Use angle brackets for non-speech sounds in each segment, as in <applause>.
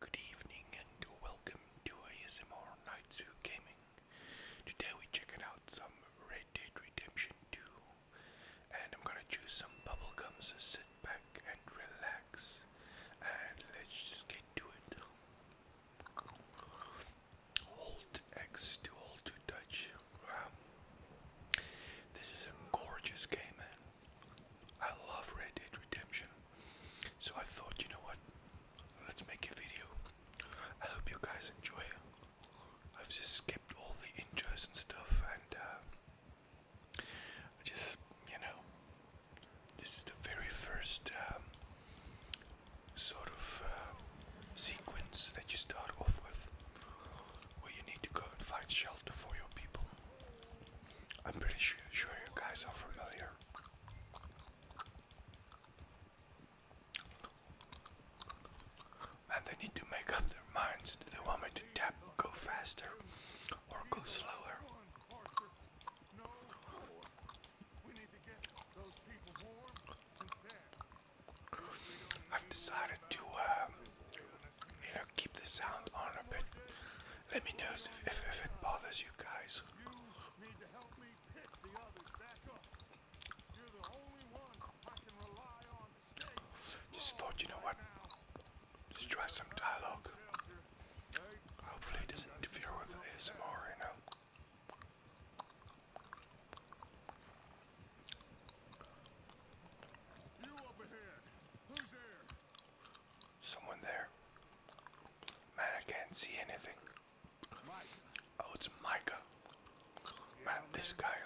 Good evening and welcome to ASMR Nightsu Gaming. Today we are checking out some Red Dead Redemption 2 and I'm gonna choose some bubblegum. So sit back and relax and let's just get to it. Hold X to hold to touch. This is a gorgeous game man. I love Red Dead Redemption. So I thought, you know what? Let's make a video. I hope you guys enjoy it. I've just skipped all the intros and stuff and uh, I just, you know, this is the very first um, sort of uh, sequence that you start off with where you need to go and find shelter for your people. I'm pretty sure, you guys are familiar. And they need to make up their minds. Do they want me to tap, go faster, or go slower? I've decided to, um, keep the sound on a bit. Let me know if, it bothers you guys. You need to help me pick the others back up. You're the only one I can rely on Just thought, you know what? Just try some dialogue. Hopefully it doesn't interfere with the ASMR, you know. Someone there. Man, I can't see anything. Oh, it's Micah. Man, this guy.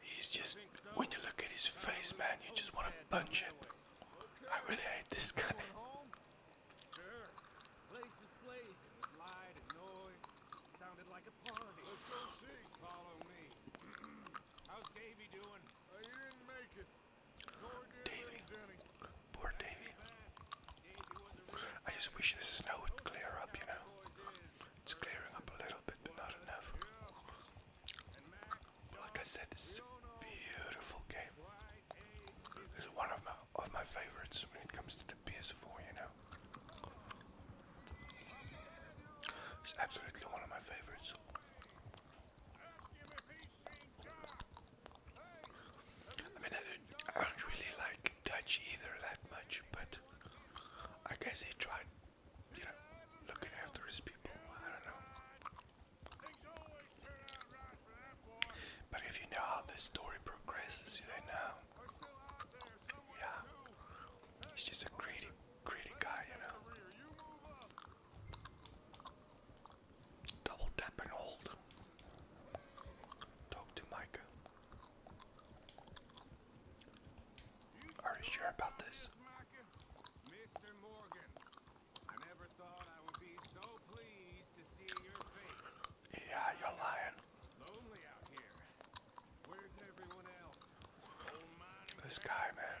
He's just. When you look at his face, man, you just want to punch it. I really hate this guy. Daily. Poor Davy. I just wish the snow would clear up, you know. It's clearing up a little bit, but not enough. Like I said, this beautiful game. is one of my of my favorites when it comes to the PS4, you know. It's absolutely one of my favorites. I mean, I don't, really like Dutch either that much, but I guess he tried, you know, looking after his people. I don't know. But if you know how this story progresses, you know. Yeah. He's just a greedy, greedy guy, you know. Double tap and hold. Talk to Mike. Are you sure about this? Mr. Morgan, I never thought I would be so pleased to see your face. Yeah, you're lying. Oh, this guy, man.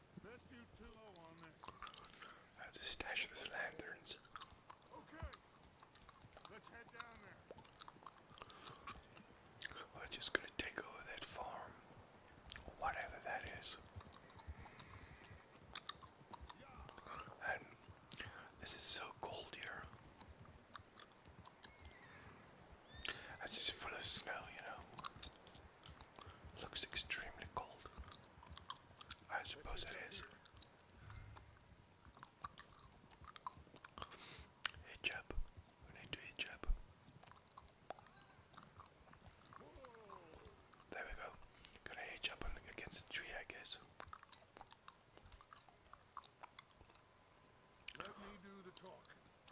I have stash these lanterns. Let's head down there. We're just gonna take over that farm. Whatever that is. And this is so cold here. It's just full of snow, you know. Looks extremely cold. I suppose it is. Hitch We need to hitch There we go. Gonna hitch against the tree, I guess. Let me do the talk.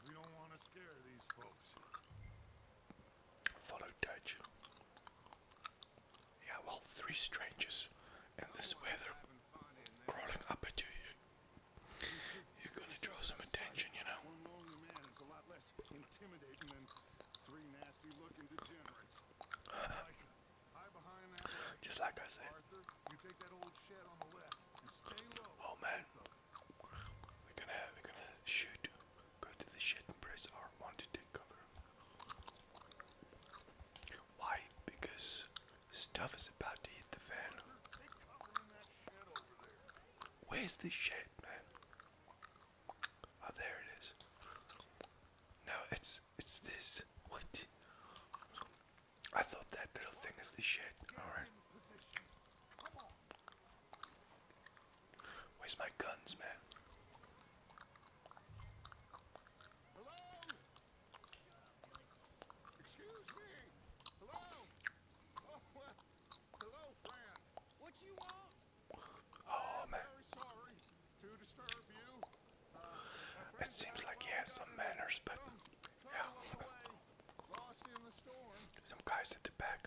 We don't want to scare these folks. Follow Dutch. Yeah, well, three strangers in this weather crawling up at you. you are gonna draw some attention, you know. <sighs> Just like I said. Oh man, we're gonna we're gonna shoot Go to the shit and press R1 to take cover. Why? Because stuff is about to hit the fan. Where's the shed, man? Oh, there it is. No, it's it's this. What? I thought that little thing is the shed. All right. Where's my guns, man? Hello? Excuse me. Hello. Oh, hello, friend. What you want? Oh man. it seems like he has some manners, but yeah. <laughs> Some guys at the back.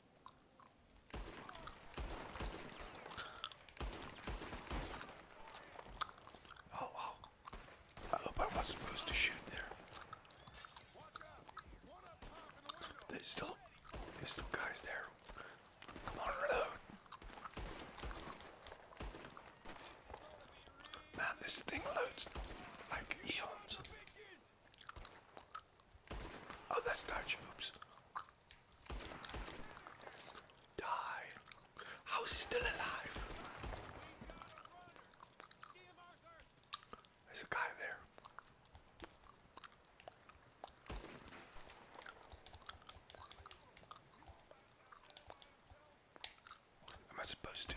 Oh wow. I hope I wasn't supposed to shoot there. There's still there's still guys there. Come on, reload. Man, this thing loads like eons. Oh, that's not troops. Die. How is he still alive? There's a guy there. Am I supposed to?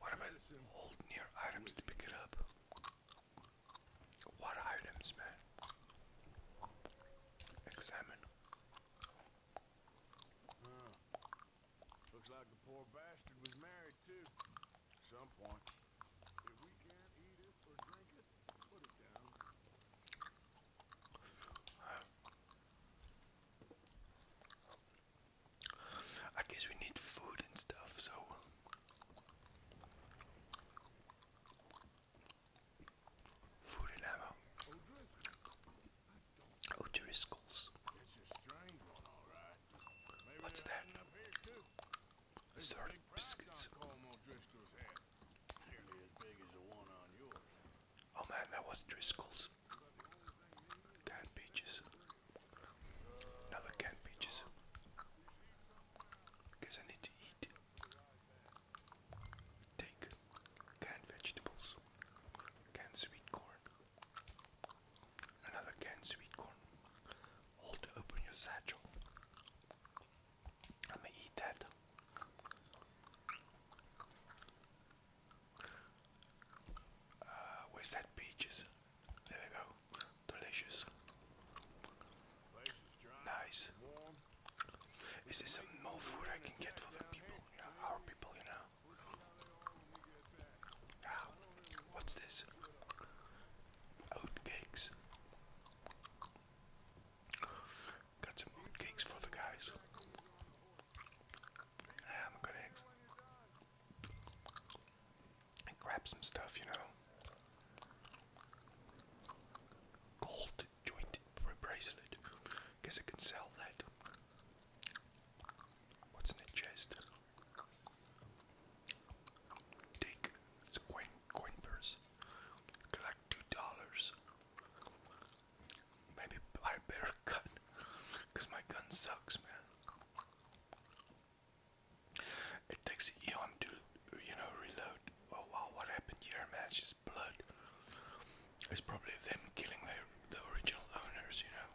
What about hold near items to pick it up? What items, man? Examine. Looks like the poor bastard was married too. Some point. If we can't eat it or drink it, put it down. I guess we need food and stuff, so. Food and ammo. Oh, there is What's that? Sort biscuits. Oh man, that was Driscoll's peaches. Canned peaches. Another canned peaches. Because I need to eat. Take canned vegetables. Canned sweet corn. Another canned sweet corn. Hold to open your satchel. I'm gonna eat that. Uh, peaches? There we go. Delicious. Nice. Is there some more food I can get for the people? our people, you know. What's this? Oatcakes. Got some oatcakes for the guys. I'm gonna and grab some stuff, you know. Gold joint bracelet. Guess I can sell that. What's in the chest? Take it's coin, coin purse. Collect two dollars. Maybe buy better gun. Cause my gun sucks, man. It takes Eon to, you know, reload. Oh wow, what happened here, man? It's just blood. It's probably them killing their, the original owners, you know.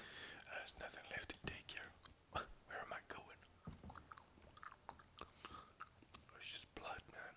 Uh, there's nothing left to take here. <laughs> Where am I going? just blood, man.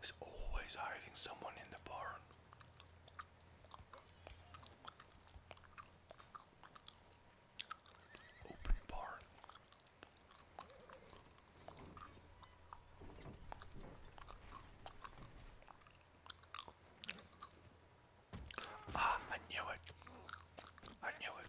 He's always hiding someone in the barn. Open barn. Ah, I knew it. I knew it.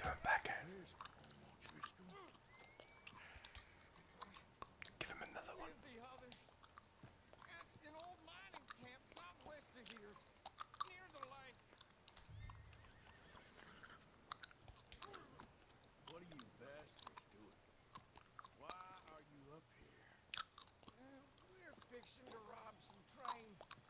Going back out. Give him another one. An old mining camp southwest of here, near the lake. What are you bastards doing? Why are you up here? Uh, we're fixing to rob some train.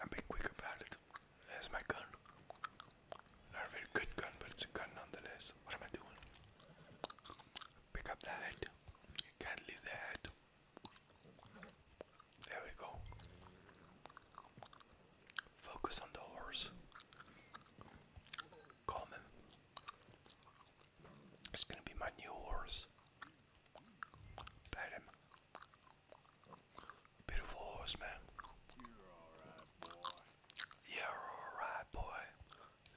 I'm being quick about it. There's my gun. Not a very good gun, but it's a gun nonetheless. What am I doing? Pick up the hat. You can't leave the hat. There we go. Focus on the horse. Calm him. It's gonna be my new horse. Pat him. Beautiful horse, man. You're alright, boy. You're alright, boy.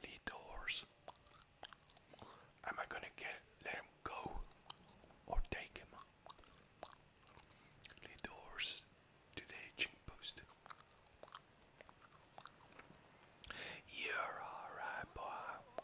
Lead the horse. Am I gonna get let him go or take him? Lead the horse to the hitching post. You're alright, boy.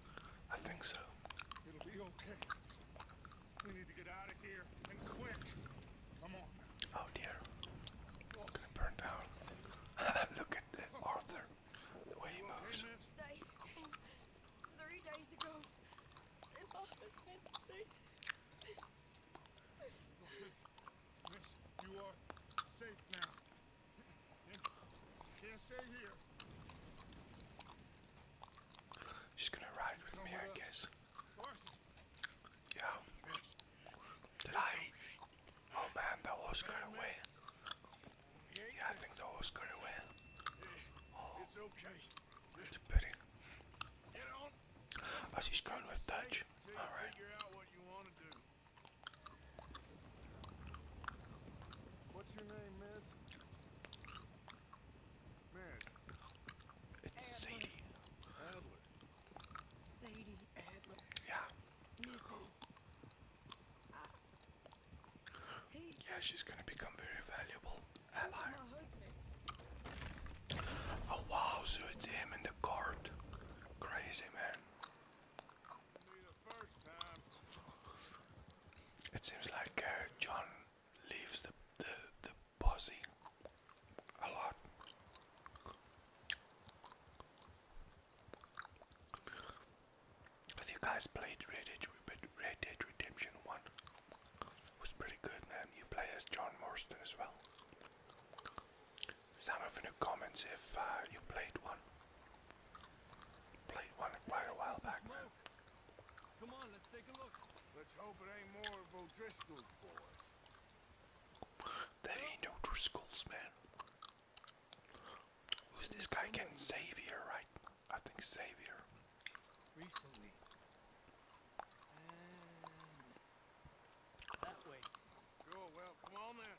I think so. It'll be okay. We need to get out of here and quick. Come on. Oh dear. i gonna burn down. <laughs> Look at Arthur. The way he moves. three days ago. And my husband, they... you are safe now. She's gonna ride with me, I guess. Yeah. Did I Oh man, the horse got away. Yeah, I think the horse got away. it's okay. It's a pity. Oh, she's going with Dutch. Alright. What's your name, miss? It's Sadie. Adler. Sadie Adler. Yeah. Yeah, she's gonna become very valuable ally. Oh wow, so it's him in the court. Crazy man. It seems like uh, John leaves the, the, the posse a lot. Have you guys played Red Dead, Redemption 1? was pretty good, man. You play as John Marston as well. Some of in the comments if uh, you played one. Played one quite a while back, man milk. Come on, let's take a look. Let's hope it ain't more of O'Driscoll's boys. no Driscoll's, man. Who's this guy again? Xavier, right? I think Xavier. that way. Sure, well, come on then.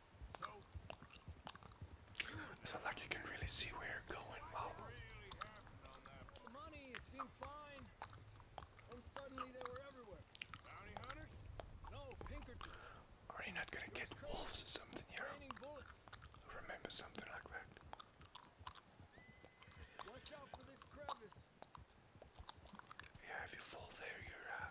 It's not like you can really see where you're going. Wow. Are you not gonna get wolves or something, you Remember something like that. Yeah, if you fall there, you're uh,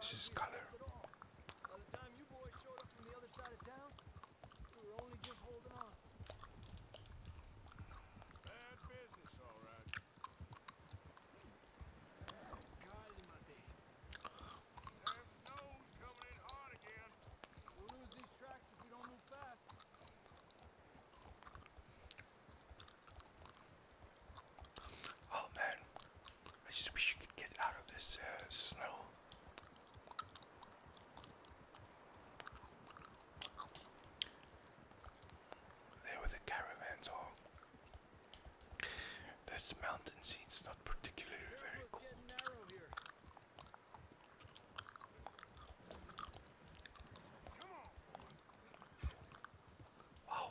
This is color. By the time you boys showed up from the other side of town, we were only just holding on. Bad business, all right. That snow's coming in hard again. We'll lose these tracks if we don't move fast. Oh man, I just wish you could get out of this uh, snow. There were the caravans all. This mountain scene's not particularly very cool. Wow,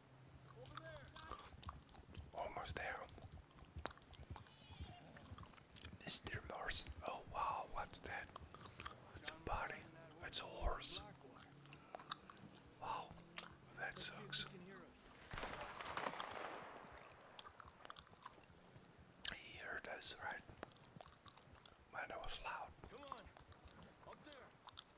Almost there. Mr. Morrison. Oh wow, what's that? It's a body. It's a horse. Wow, that sucks. He heard us, right? Man, that was loud.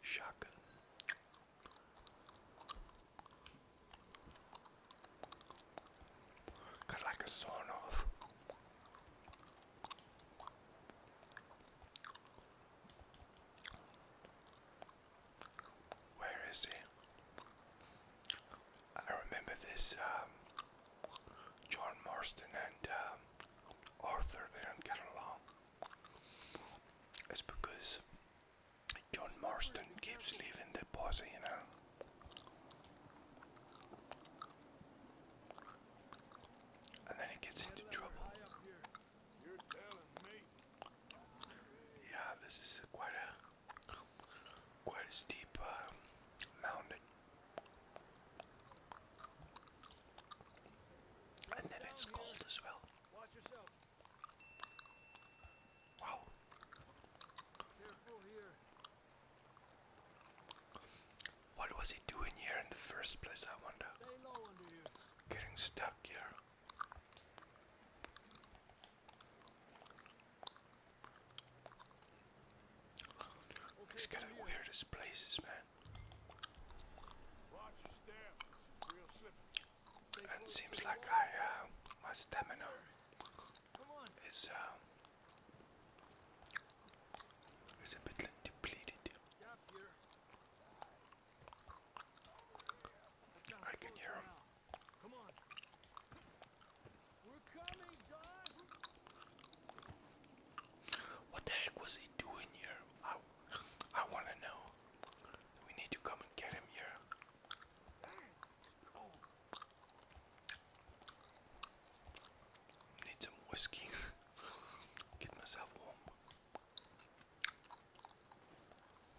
shotgun. Got like a sawn off. Where is he? I remember this um, John Marston and um, Arthur, they don't get along. It's because John Marston keeps leaving the boss, you know. And then he gets into trouble. Yeah, this is quite a quite a steep uh, mountain. And then it's cold as well. Watch yourself. Wow. Careful here. What was he doing here in the first place, I wonder? Getting stuck here. Okay, He's weirdest places, man. And seems like I, uh, my stamina is, um, is a bit depleted. I can hear What the heck was he doing here? I, I want to know. We need to come and get him here. Need some whiskey. <laughs> get myself warm.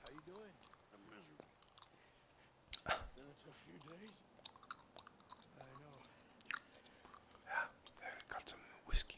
How you doing? I'm miserable. <laughs> a few days. I know. Yeah, got some whiskey.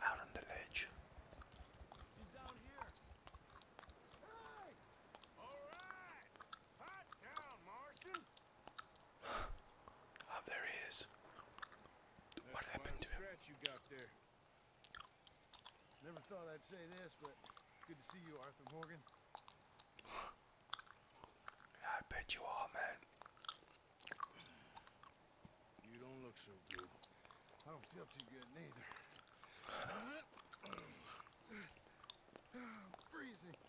Out on the ledge. He's down here. Hey! All right. Hot down, Marston. oh, there he is. That's what happened to him? you got there. Never thought I'd say this, but good to see you, Arthur Morgan. I bet you are, man. You don't look so good. I don't feel too good neither. Freezing.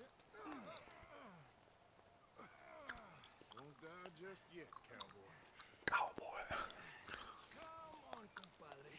<sighs> Don't die just yet, Cowboy. Come on, compadre.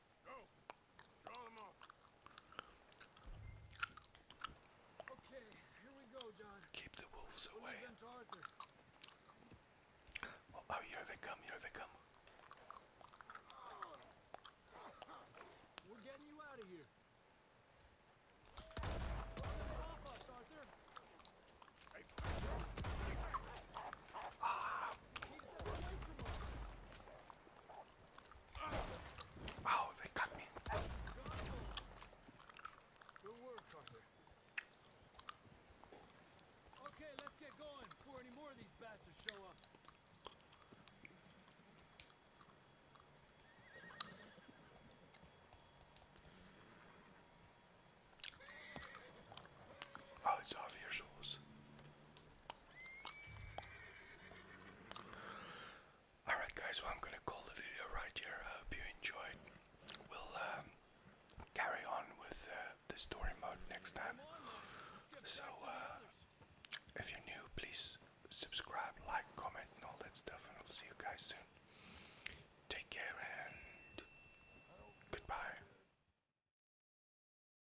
Okay, here we go, John. Keep the wolves away. Oh, oh, here they come, here they come. We're getting you out of here. Off us, Arthur. Hey. Ah. Wow, they got me. Good work, Arthur. Okay, let's get going before any more of these bastards show up. Oh, it's off your souls. Alright, guys, well, I'm going to call the video right here. I hope you enjoyed. We'll um, carry on with uh, the story mode next time. So, uh, if you're new, please subscribe, like, comment, and all that stuff. And I'll see you guys soon. Take care and goodbye.